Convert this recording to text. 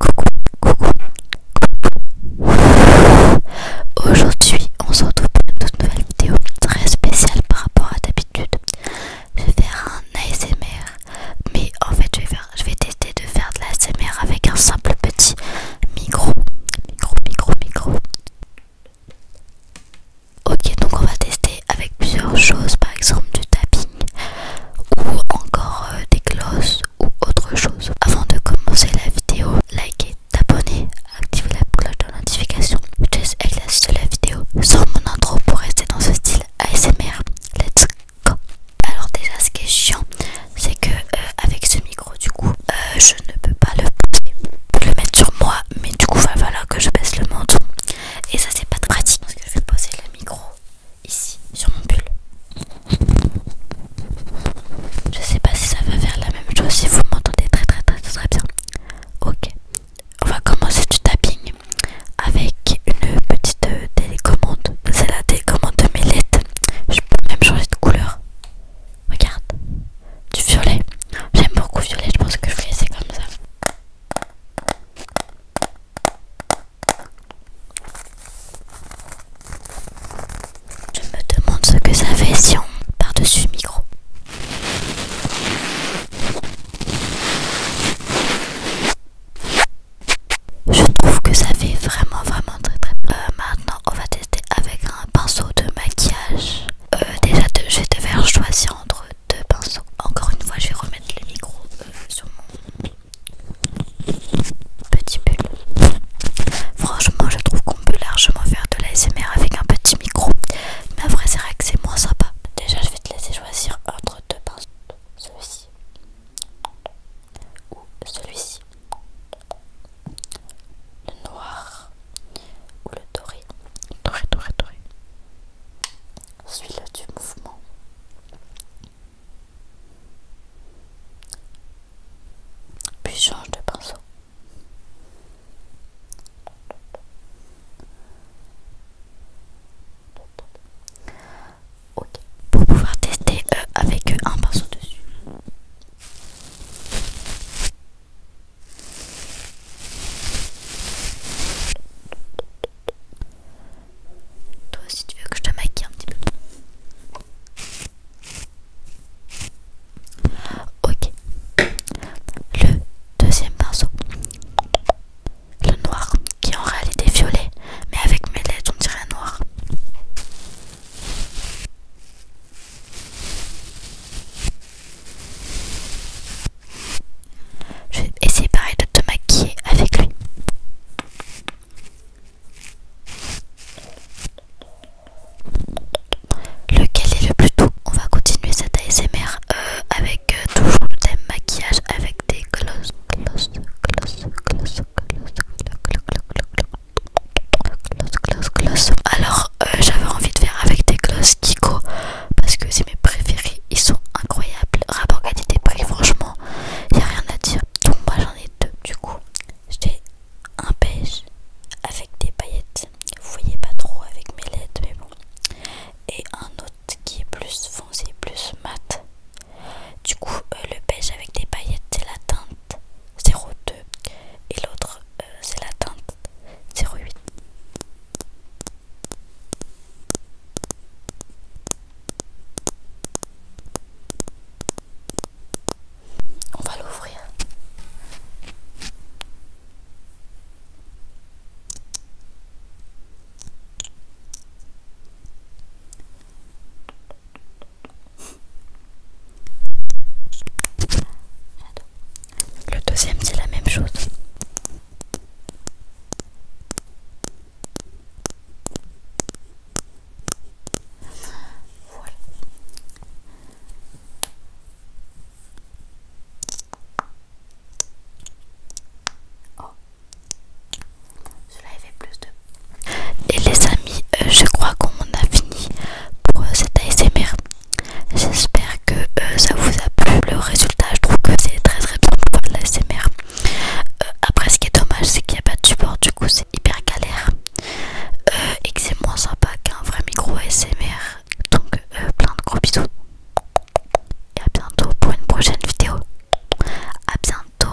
Coucou, coucou, coucou. Aujourd'hui, on se retrouve pour une toute nouvelle vidéo très spéciale par rapport à d'habitude. Je vais faire un ASMR, mais en fait, je vais, je vais tester de faire de l'ASMR avec un simple petit micro. Micro, micro, micro. Ok, donc on va tester avec plusieurs choses, par exemple du tapis ou encore euh, des glosses ou autre chose. Avant de commencer la vidéo, likez, abonnez, activez la cloche de notification. Je la vidéo sans mon intro pour rester dans ce style ASMR. Let's go! Alors, déjà, ce qui est chiant, c'est que euh, avec ce micro, du coup, euh, je ne peux pas le poser le mettre sur moi, mais du coup, va falloir que je baisse le menton et ça, c'est pas pratique parce que je vais poser le micro ici sur mon pull. Je sais pas si ça va faire la même chose si vous m'entendez très très très très bien. Ok, on va commencer du tapping avec une petite euh, télécommande. C'est la télécommande de mes Je peux même changer de couleur. Regarde, du violet. J'aime beaucoup violet, je pense que je vais laisser comme ça. Je me demande ce que ça fait si on par-dessus micro. Je trouve que ça fait vraiment vraiment très très bien euh, Maintenant on va tester avec un pinceau de maquillage. déjà euh, déjà de, je vais faire choisir entre deux pinceaux. Encore une fois, je vais remettre le micro euh, sur mon petit pull. Franchement, je trouve qu'on peut largement faire de l'ASMR avec un petit micro. Mais vrai c'est vrai que c'est moins sympa. Déjà, je vais te laisser choisir entre deux pinceaux. Celui-ci ou celui-ci. Le noir ou le doré. Doré, doré, doré suis là du mouvement. Puis change de pinceau. Ok, pour pouvoir tester euh, avec un pinceau dessus. Toi aussi tu veux que je te maquille un petit peu. Ok. Le deuxième pinceau. Le noir, qui en réalité violet, mais avec mes lettres on dirait noir. Je vais essayer pareil de te maquiller avec lui. Lequel est le plus doux On va continuer cette ASMR euh, avec euh, toujours le thème maquillage avec des gloss, Alors euh, j'avais envie de faire avec des gloss parce que c'est mes préférés, ils sont incroyables. Rapport qualité-prix, franchement, il a rien à dire. Donc, moi j'en ai deux du coup. J'ai un beige avec des paillettes, vous voyez pas trop avec mes lèvres mais bon. Et un autre qui est plus foncé, plus mat. Du coup, euh, le beige avec des paillettes, c'est la teinte 02 et l'autre euh, c'est la teinte 08. On va l'ouvrir. Le deuxième c'est la même chose. Oh. Cela plus de... Et les amis, euh, je crois qu'on a fini pour euh, cet ASMR. J'espère que euh, ça vous a plu le résultat. Je trouve que c'est très très bien pour faire de l'ASMR. Euh, après, ce qui est dommage, c'est qu'il n'y a pas de support, du coup, c'est hyper galère et que c'est moins sympa qu'un vrai micro ASMR. Donc, plein de gros bisous et à bientôt pour une prochaine vidéo. À bientôt.